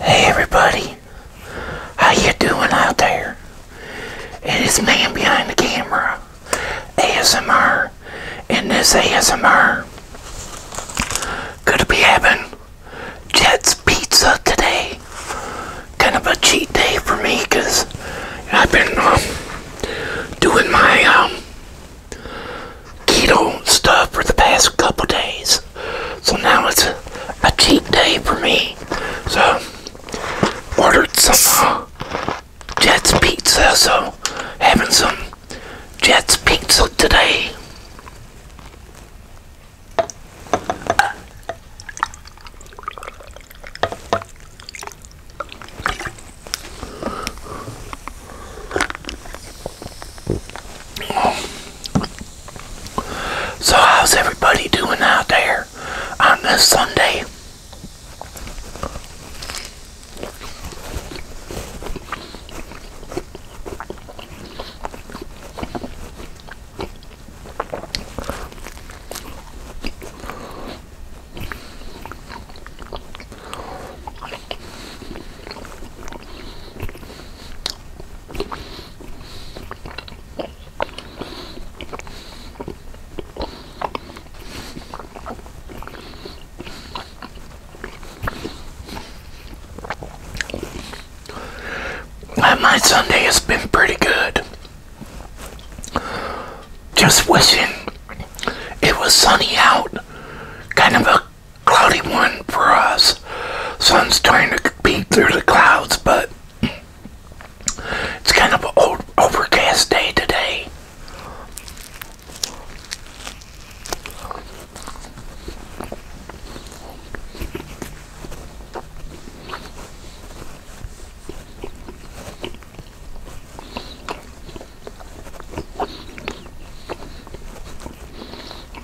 Hey everybody, how you doing out there? And this man behind the camera, ASMR, and this ASMR gonna be having Jet's Pizza today. Kind of a cheat day for me because I've been um, doing my um, keto stuff for the past couple days. So now it's a, cheap day for me. So, ordered some uh, Jets Pizza, so having some Jets Pizza today. So, how's everybody doing out there on this Sunday? My Sunday has been pretty good. Just wishing it was sunny out. Kind of a cloudy one for us. Sun's trying to peek through the clouds, but it's kind of an overcast day today.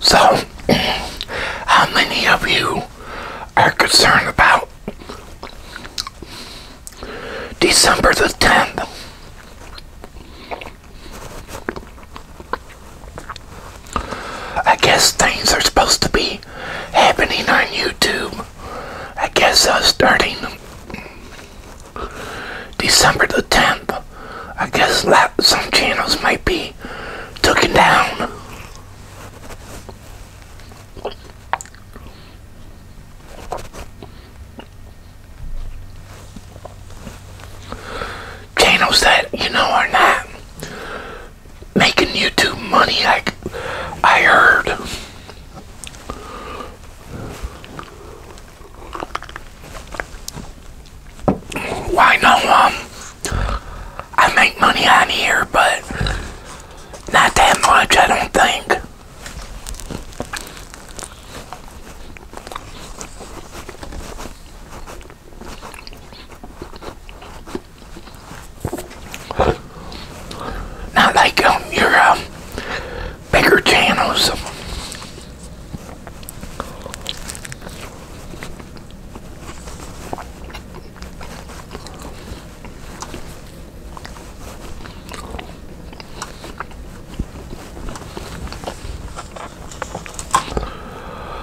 So, how many of you are concerned about December the 10th? I guess things are supposed to be happening on YouTube. I guess uh, starting December the 10th. I guess some channels might be took him down. Channels that you know are not making YouTube money like I heard why no I make money on here but not that much I don't think not like um, your um, bigger channels.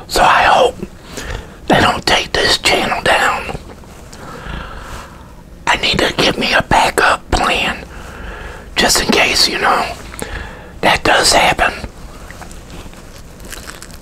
So I hope they don't take this channel down. I need to get me a backup plan just in case, you know, that does happen.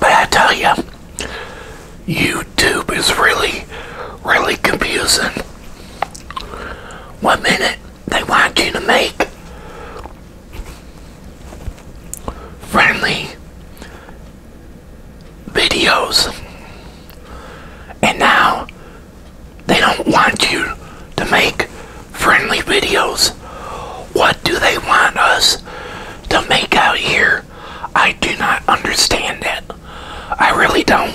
But I tell you, YouTube is really, really confusing. One minute they want you to make friendly videos and now they don't want you to make friendly videos what do they want us to make out here I do not understand it I really don't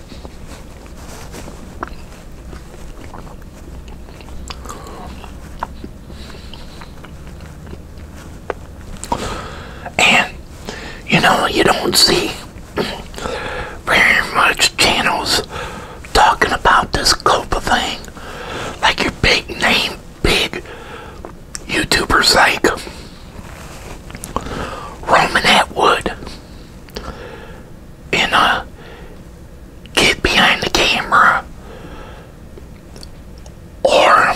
And you know, you don't see very much channels talking about this Copa thing like your big name, big YouTubers like Roman Atwood and uh, get behind the camera or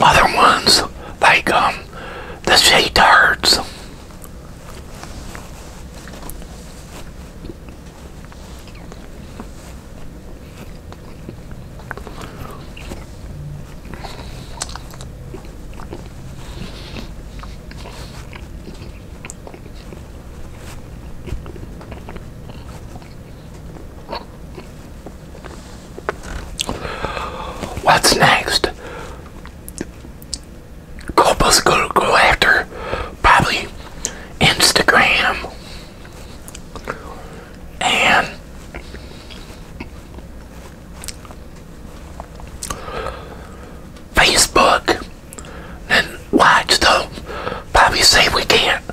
other ones like um, the shade darts. What's next? Couples go go after probably Instagram and Facebook and watch them. Bobby say we can't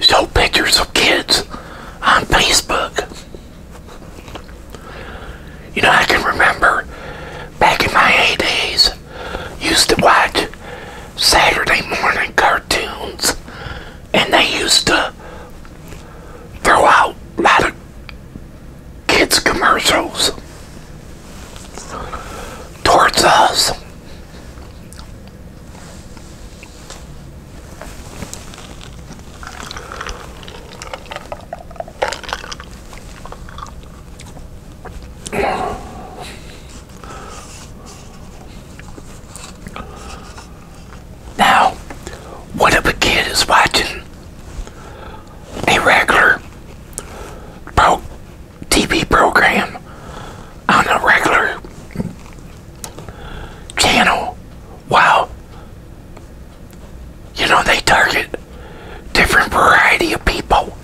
show pictures of kids on Facebook. You know, I can remember back in my eighties. used to watch Saturday morning cartoons, and they used to throw out a lot of kids commercials towards us. Now, what kid is watching a regular pro TV program on a regular channel. Wow. You know, they target different variety of people.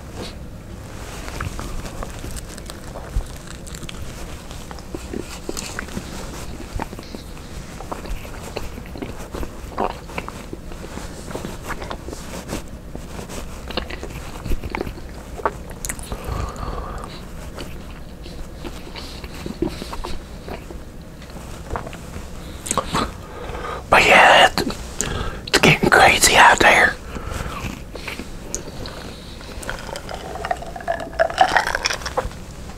But yeah, it's getting crazy out there.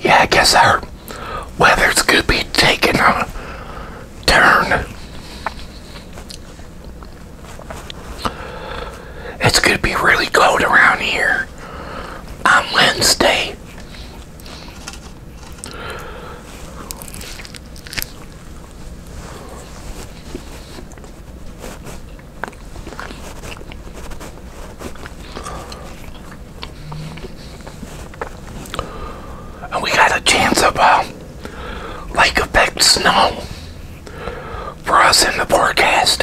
Yeah, I guess our weather's going to be taking a turn. It's going to be really cold around here on Wednesday. And we got a chance of uh, lake effect snow for us in the forecast.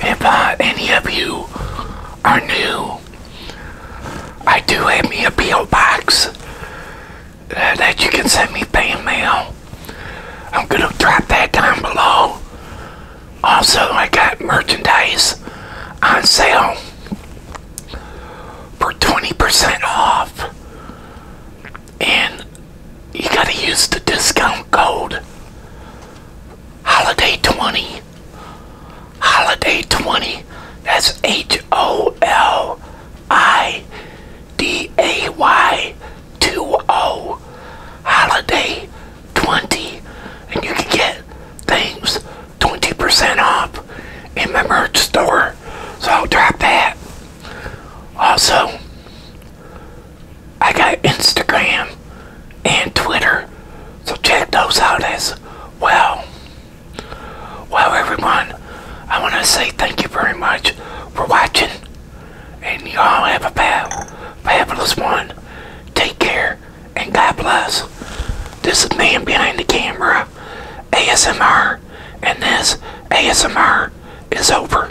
if any of you are new, I do have me a P.O. box that you can send me fan mail. I'm going to drop that down below. Also, I got merchandise on sale for 20% off. And you gotta use the discount code holiday 20 holiday 20 that's h-o-l-i-d-a-y 2-0 holiday 20 and you can get things 20% off in my merch store so I'll drop that also I got Instagram and Twitter, so check those out as well. Well, everyone, I want to say thank you very much for watching, and y'all have a fab, fabulous one. Take care, and God bless. This is Man Behind the Camera, ASMR, and this ASMR is over.